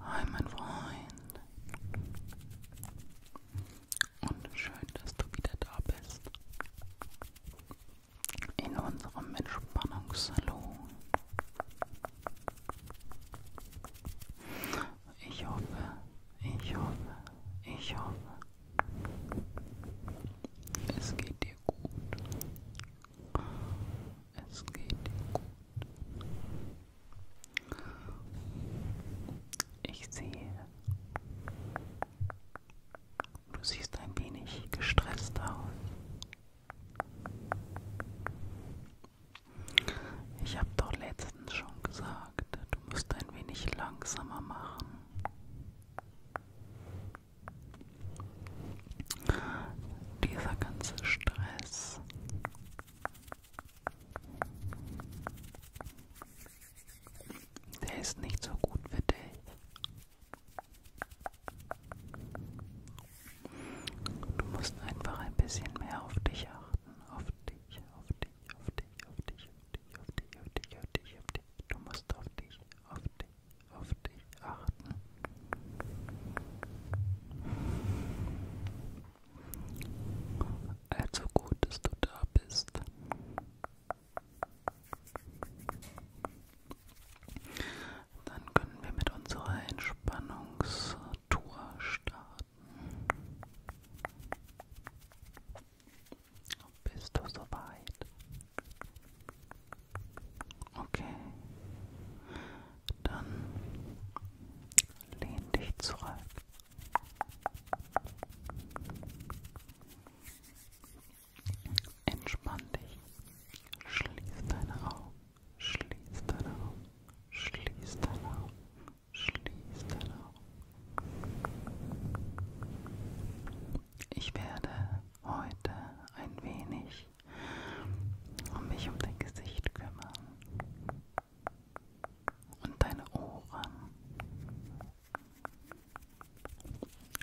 Hi mein Freund. Und schön, dass du wieder da bist. In unserem Entspannungssalon ich hoffe, ich hoffe, ich hoffe, es geht dir gut. Es geht dir gut. Ich sehe, du siehst ein wenig gestresst aus. Ich habe doch letztes letztens schon gesagt, du musst ein wenig langsamer machen. Dieser ganze Stress. Der ist nicht so gut für dich. Du musst einfach ein bisschen mehr auf dich achten, auf dich, auf dich dich, auf dich, auf dich, auf dich, auf dich, auf dich, auf dich. Du musst auf dich, auf dich, auf dich achten. Also gut, dass du da bist. Dann können wir mit unserer Entspannungstour starten. Bist du soweit? Okay. Dann lehn dich zurück. Entspann dich. Schließ deine Augen. Schließ deine Augen. Schließ deine Augen. Schließ deine Augen. Ich werde heute ein wenig um mich um dein Gesicht kümmern und deine Ohren.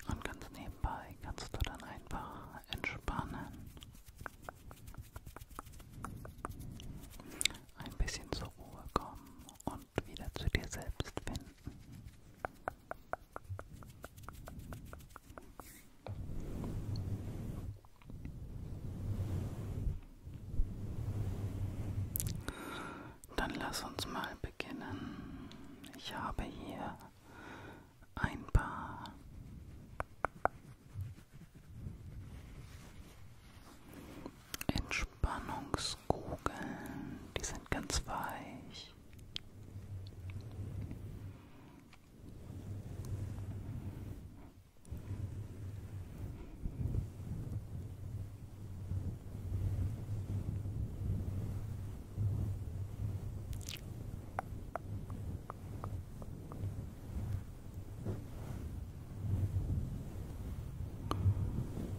Und ganz nebenbei kannst du dann einfach entspannen. Ein bisschen zur Ruhe kommen und wieder zu dir selbst finden. Dann lass uns mal beginnen. Ich habe hier ein paar Entspannungskugeln, die sind ganz weich. Entspannungskugeln.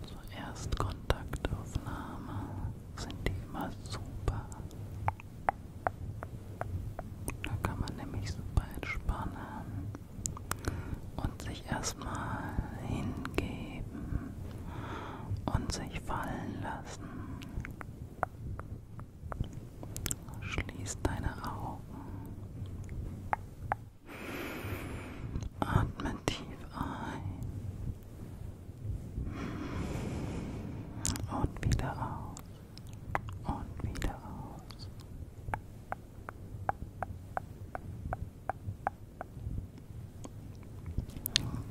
Zuerst Kontaktaufnahme sind die immer super. Da kann man nämlich super entspannen und sich erstmal hingeben und sich fallen lassen. Schließ deine Augen Atme tief ein und wieder aus und wieder aus.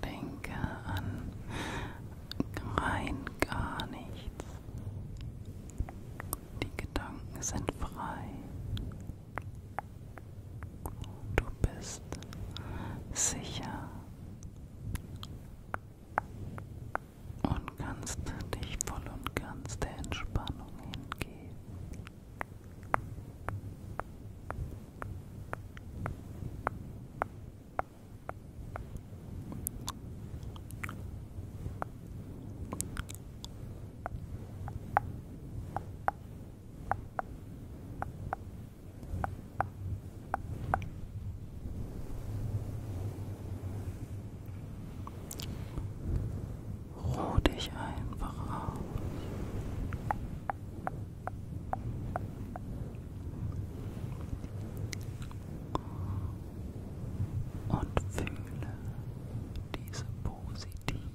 Denke an rein gar nichts. Die Gedanken sind frei. Du bist sicher und kannst dich voll und ganz der Entspannung hingeben. Ruh dich einfach aus. Und fühle diese positive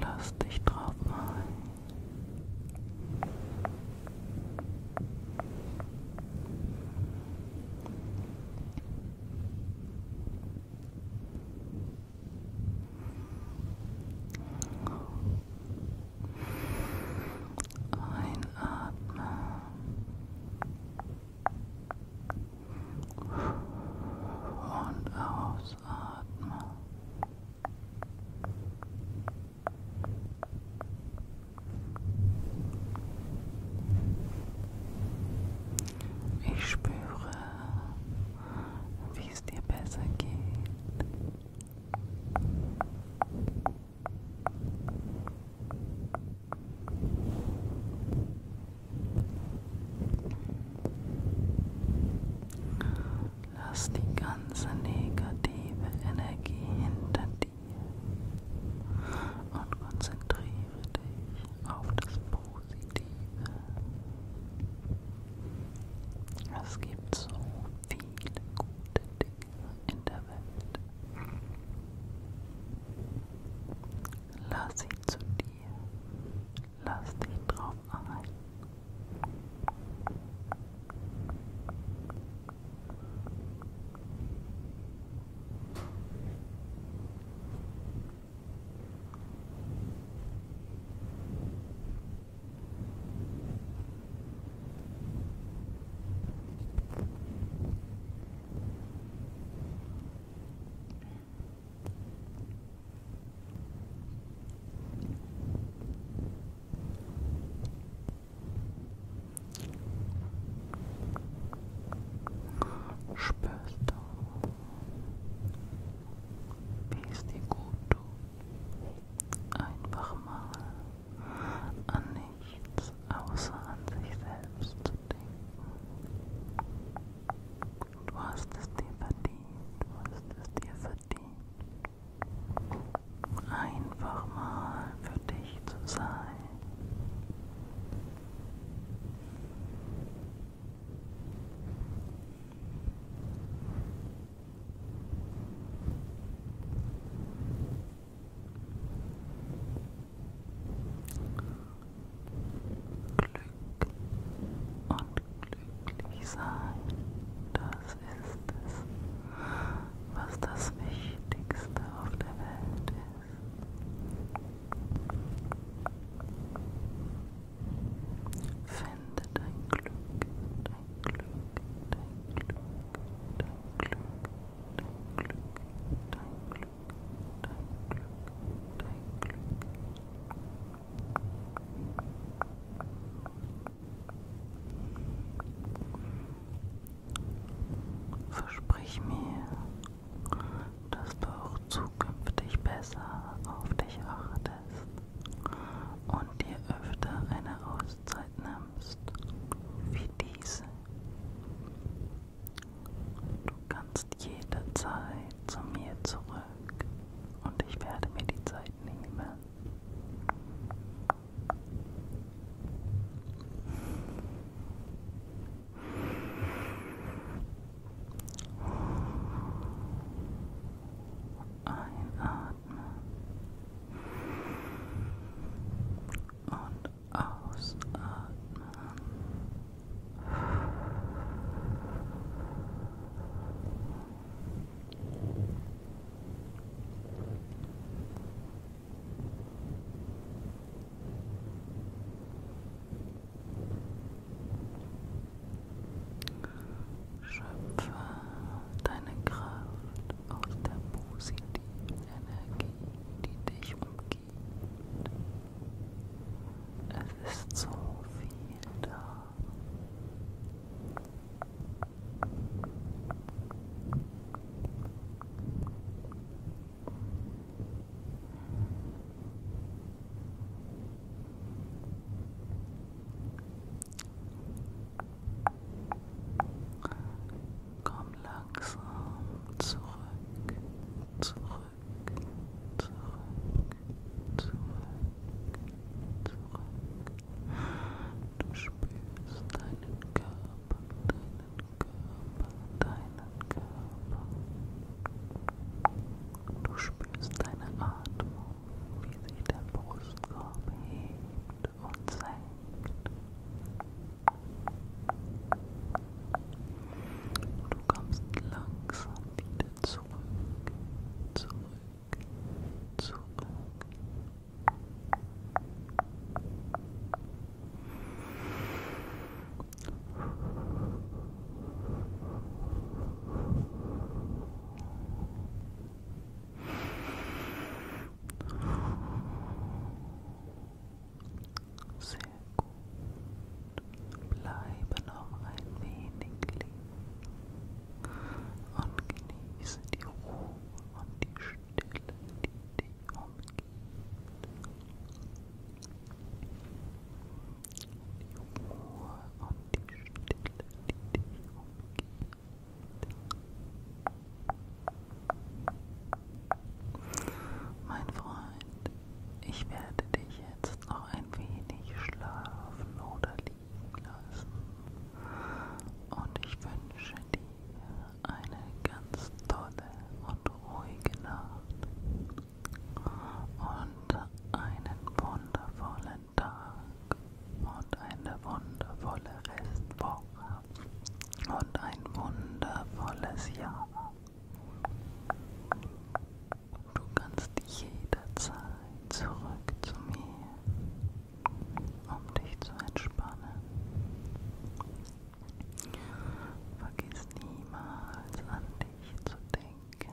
Lass dich drauf ein. Einatme. Und ausatme. Ich spüre, wie es dir besser geht. Lass die ganze negative Energie hinter dir und konzentriere dich auf das Positive. Es gibt so viele gute Dinge in der Welt. Lass sie zu dir. Lass dich drauf ein. Spürst du, wie es dir gut tut? Einfach mal an nichts außer an sich selbst zu denken. Du hast es dir verdient, du hast es dir verdient. Einfach mal für dich zu sein. Deine Glück und glücklich sein, das ist es, was das Wichtigste auf der Welt ist. Finde dein Glück, dein Glück, dein Glück, dein Glück dein Glück, dein Glück, dein Glück, dein Glück. Versprich mir, dass du auch zukünftig besser auf dich achtest und dir öfter eine Auszeit nimmst, wie diese Du kannst jederzeit zu mir zurück und ich werde mir die Zeit nehmen. Einatmen und ausatmen. Schöpfe deine Kraft aus der positiven Energie, die dich umgibt. Es ist so viel da. Komm langsam zurück, zurück, zurück, zurück, zurück. Du spürst deinen Körper, deinen Körper, deinen Körper. Du spürst deine Atmung, wie sich der Brustkorb hebt und senkt. Du kommst langsam wieder zurück, zurück, zurück. Und sehr gut. Bleibe noch ein wenig liegen und genieße die Ruhe und die Stille, die dich umgibt. Die Ruhe und die Stille, die dich umgibt. Mein Freund, ich werde dich jetzt noch ein wenig schlafen oder liegen lassen. Und ich wünsche dir eine ganz tolle und ruhige Nacht und einen wundervollen Tag und eine wundervolle Restwoche. Jahr und ein wundervolles Jahr. Du kannst jederzeit zurück zu mir, um dich zu entspannen. Vergiss niemals an dich zu denken.